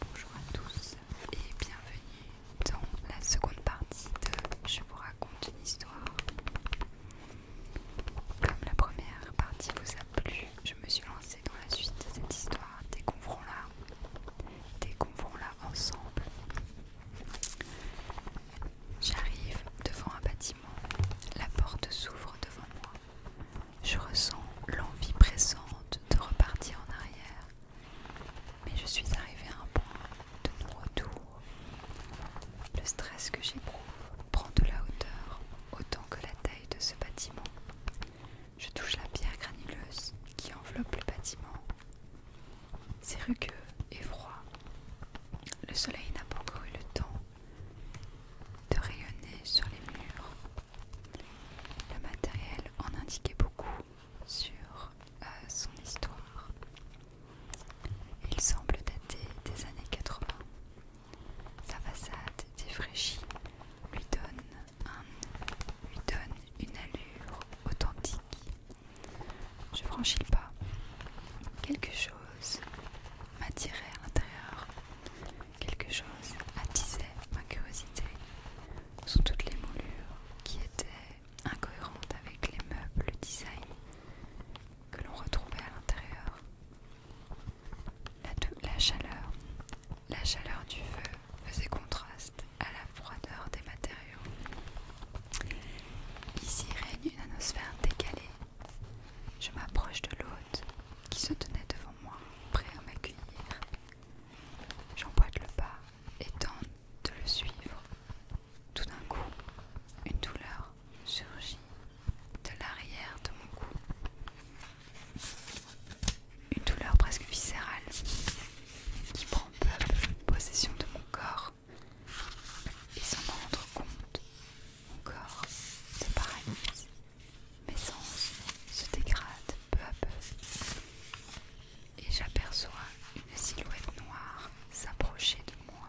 Bonjour à tous et bienvenue dans la seconde partie de Je vous raconte une histoire. Comme la première partie vous a plu, je me suis lancée dans la suite de cette histoire. Découvrons-la. découvrons là ensemble. J'arrive devant un bâtiment. La porte s'ouvre devant moi. Je ressens l'envie pressante de repartir en arrière, mais je suis arrivée à un point de non-retour. Le stress que j'éprouve prend de la hauteur autant que la taille de ce bâtiment. Je touche la pierre granuleuse qui enveloppe le bâtiment. C'est rugueux et froid. Le soleil n'a pas encore eu le temps de rayonner sur les murs. Le matériel en indiquait beaucoup sur euh, son histoire. Il semble dater des années 80. Sa façade défraîchie lui donne, lui donne une allure authentique. Je franchis pas. Quelque chose m'attirait à l'intérieur. Quelque chose attisait ma curiosité sous toutes les moulures qui étaient incohérentes avec les meubles le design que l'on retrouvait à l'intérieur. La, la chaleur, la chaleur du feu faisait contraste à la froideur des matériaux. Ici règne une atmosphère décalée je m'approche de l'hôte qui se tenait devant moi, prêt à m'accueillir. J'emboîte le pas et tente de le suivre. Tout d'un coup, une douleur surgit de l'arrière de mon cou. Une douleur presque viscérale qui prend peu possession de mon corps. Et sans me rendre compte, mon corps se paralyse, mes sens se dégradent peu à peu, et j'aperçois une silhouette noire s'approcher de moi.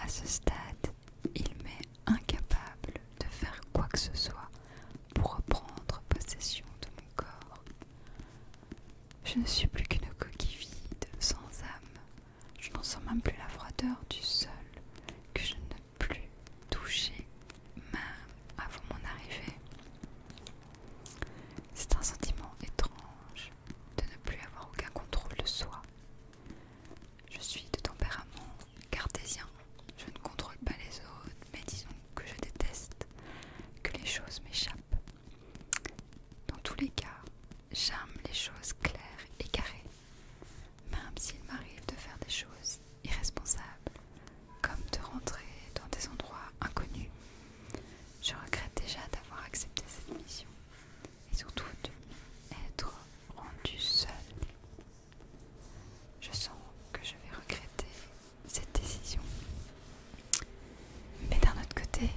À ce stade, il met incapable de faire quoi que ce soit pour reprendre possession de mon corps. Je ne suis plus qu'une coquille vide, sans âme. Je n'en sens même plus la froideur du sol que je ne plus toucher, même avant mon arrivée. C'est un sentiment étrange de ne plus avoir aucun contrôle de soi. Je suis de tempérament cartésien. Je ne contrôle pas les autres, mais disons que je déteste que les choses m'échappent. Dans tous les cas, j'aime les choses claires et carrées, même s'il m'arrive de faire des choses irresponsables, comme de rentrer dans des endroits inconnus. Je regrette déjà d'avoir accepté cette mission et surtout être rendu seul. Je sens que je vais regretter cette décision. Mais d'un autre côté,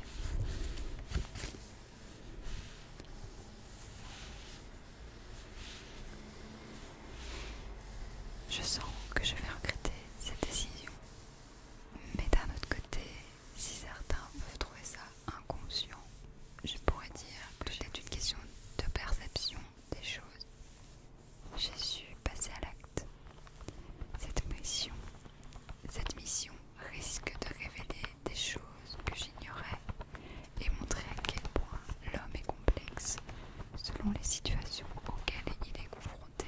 je sens que je vais regretter cette décision. Mais d'un autre côté, si certains peuvent trouver ça inconscient, je pourrais dire que c'est une question de perception des choses. J'ai su passer à l'acte. Cette mission, cette mission risque de révéler des choses que j'ignorais et montrer à quel point l'homme est complexe selon les situations auxquelles il est confronté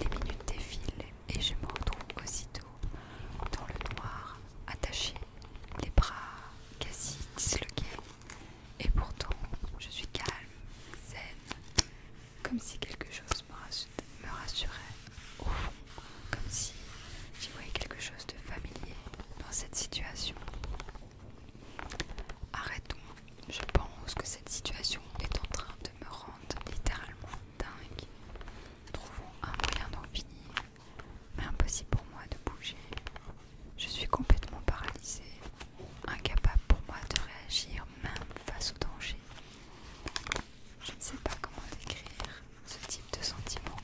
Les minutes défilent et je me retrouve aussitôt dans le noir, attaché, les bras quasi disloqués. Et pourtant, je suis calme, zen, comme si quelque chose me rassurait au fond, comme si j'y voyais quelque chose de familier dans cette situation. Arrêtons, je pense que cette situation est en train de me rendre littéralement dingue. Trouvons un moyen d'en finir, mais impossible pour moi de bouger. Je suis complètement paralysée, incapable pour moi de réagir même face au danger. Je ne sais pas comment décrire ce type de sentiment.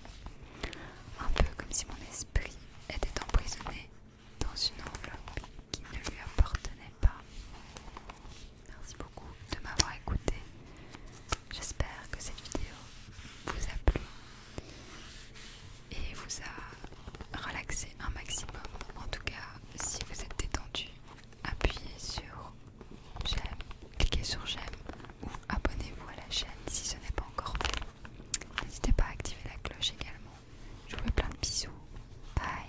Un peu comme si mon esprit était emprisonné dans une enveloppe qui ne lui appartenait pas. Merci beaucoup de m'avoir écouté. J'espère que cette vidéo vous a plu et vous a relaxé un maximum. En tout cas, si vous êtes détendu, appuyez sur j'aime, cliquez sur j'aime ou abonnez-vous à la chaîne si ce n'est pas encore fait. N'hésitez pas à activer la cloche également. Je vous fais plein de bisous. Bye.